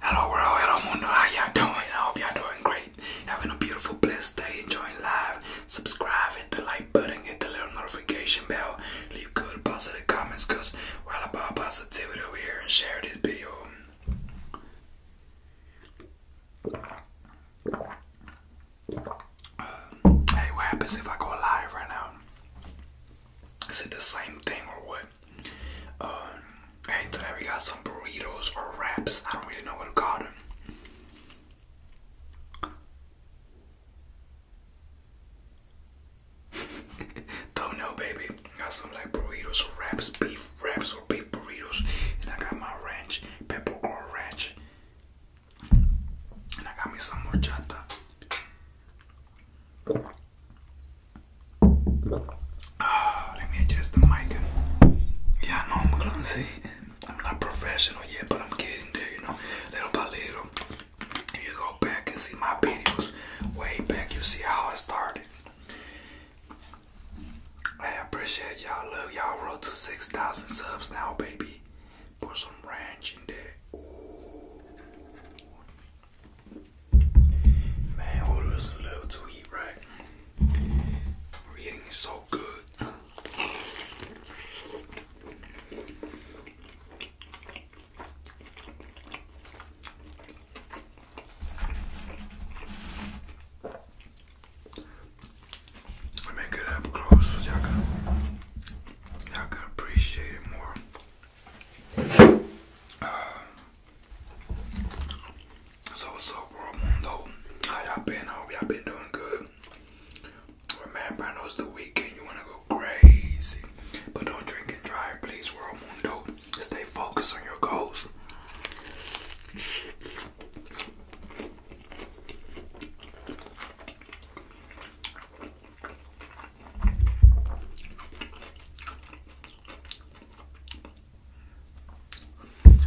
Hello world, hello mundo, how y'all doing? I hope y'all doing great. Having a beautiful, blessed day, enjoying life. Subscribe, hit the like button, hit the little notification bell. Leave good positive comments cause we're all about positivity over here and share this video. hey, what happens if I go live right now? Is it the same thing or what? Um, and today we got some burritos or wraps. I don't really know what to call them. don't know, baby. Got some like burritos or wraps, beef wraps or beef burritos, and I got my ranch, peppercorn ranch, and I got me some horchata. Ah, let me adjust the mic. Yeah, I I'm going I'm not professional yet, but I'm getting there, you know, little by little. you go back and see my videos way back, you see how I started. I appreciate y'all. Look, y'all. Road to 6,000 subs now, baby. Put some ranch in there. Man, all of us love to eat, right? We're eating so good. I mean, get up close y'all could, y'all could appreciate it more. So, what's up, world mundo? How y'all been? I hope y'all been doing good. Remember, it's the weekend. You want to go crazy. But don't drink and drive, please, world mundo. Stay focused on your goals.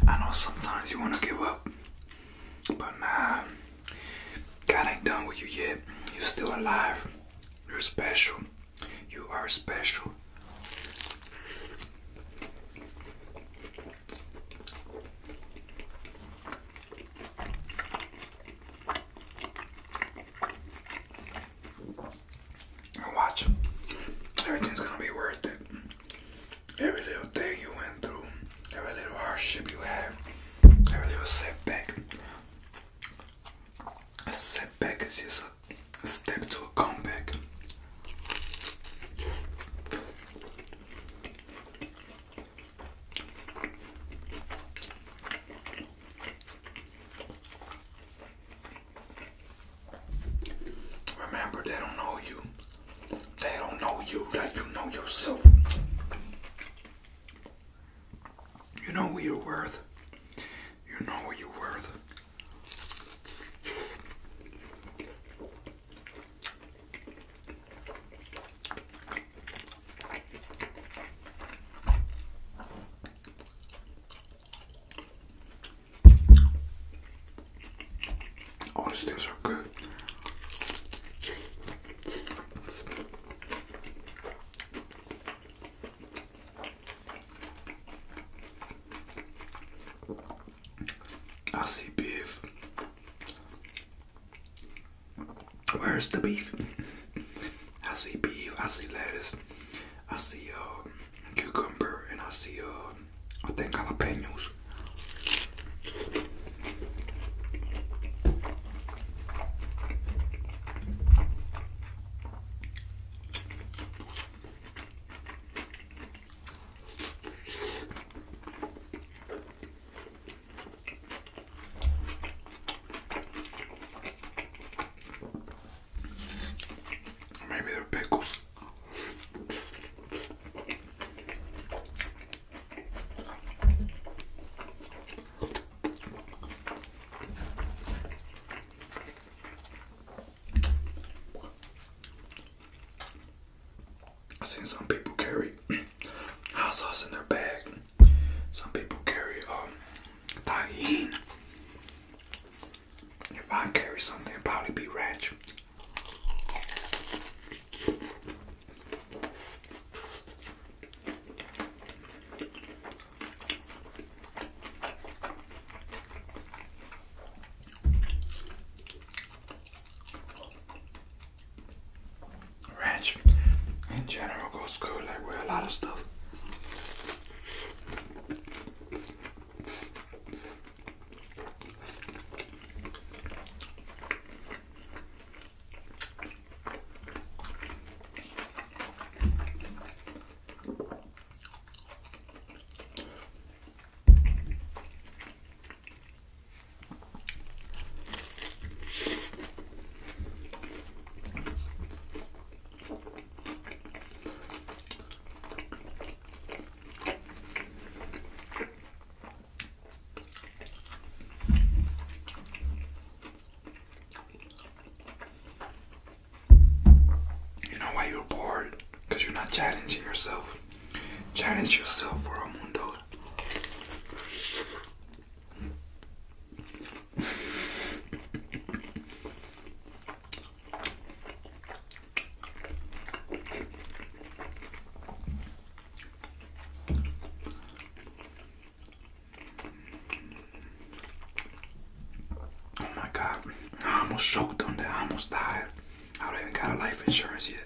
I know sometimes you want to give up, but nah, God ain't done with you yet. You're still alive. You're special. You are special. And watch, everything's gonna be worth it. Every little thing you went through, every little hardship you had, every little setback. A setback is just a step to a comeback. Remember, they don't know you. They don't know you like you know yourself. You know who you're worth. You know what you're worth. Honestly, oh, these are good. I see beef. Where's the beef? I see beef, I see lettuce, I see uh, cucumber, and I see, uh, I think jalapenos. Maybe they're pickles. I've seen some people carry hot sauce in their bag. Some people carry um tahine. If I carry something, it'd probably be ranch ranch in general goes good, like with a lot of stuff. You know why you're bored? Because you're not challenging yourself. Challenge yourself for a mundo. Oh my god, I almost choked on that. I almost died. I don't even got a life insurance yet.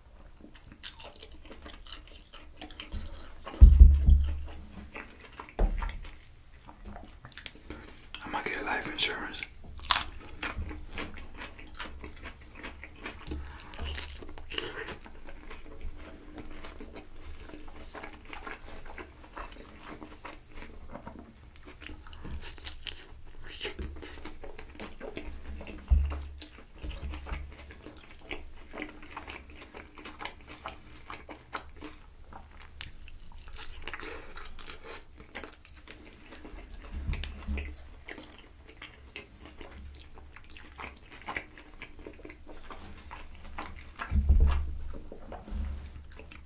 I'm gonna get life insurance.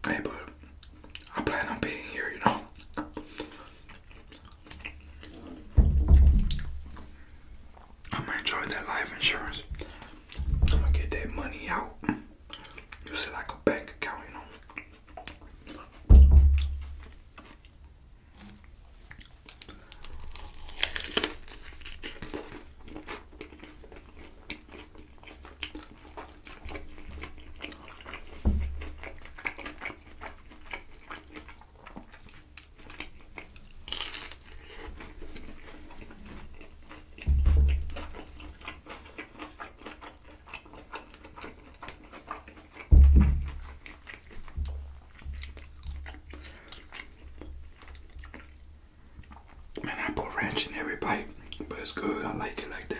Hey, but I plan on being here, you know. I'm gonna enjoy that life insurance. I'm gonna get that money out. Use it like a bank account, you know. Man, I put ranch in every bite, but it's good. I like it like that.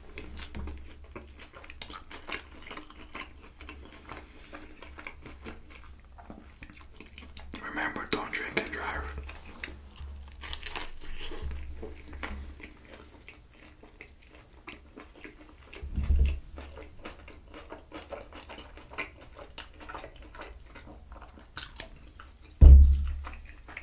Remember, don't drink and drive.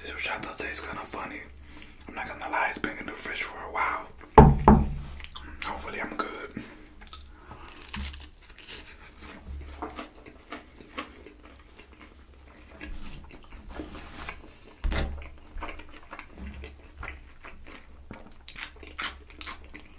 This is what y'all tastes kind of funny. I'm not gonna lie, it's been in the fridge for a while. Hopefully, I'm good.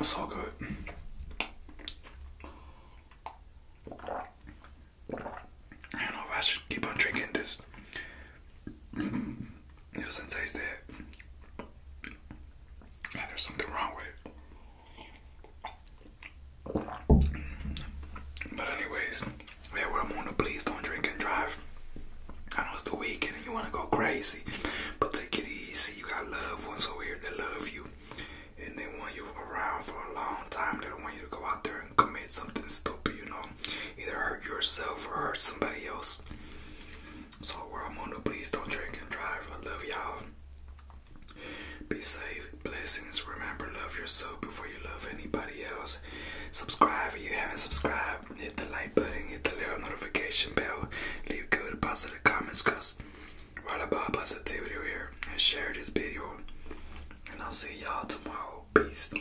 So good. I don't know if I should keep on drinking this ever since not said yeah, there's something wrong with it. But anyways, yeah, we're please don't drink and drive. I know it's the weekend and you wanna go crazy, but take it easy. You got loved ones over here that love you and they want you around for a long time. They don't want you to go out there and commit something stupid, you know. Either hurt yourself or hurt somebody else. So, world mundo, please don't drink and drive. I love y'all. Be safe. Blessings. Remember, love yourself before you love anybody else. Subscribe if you haven't subscribed. Hit the like button. Hit the little notification bell. Leave good positive comments because we're all about positivity here. And share this video. And I'll see y'all tomorrow. Peace.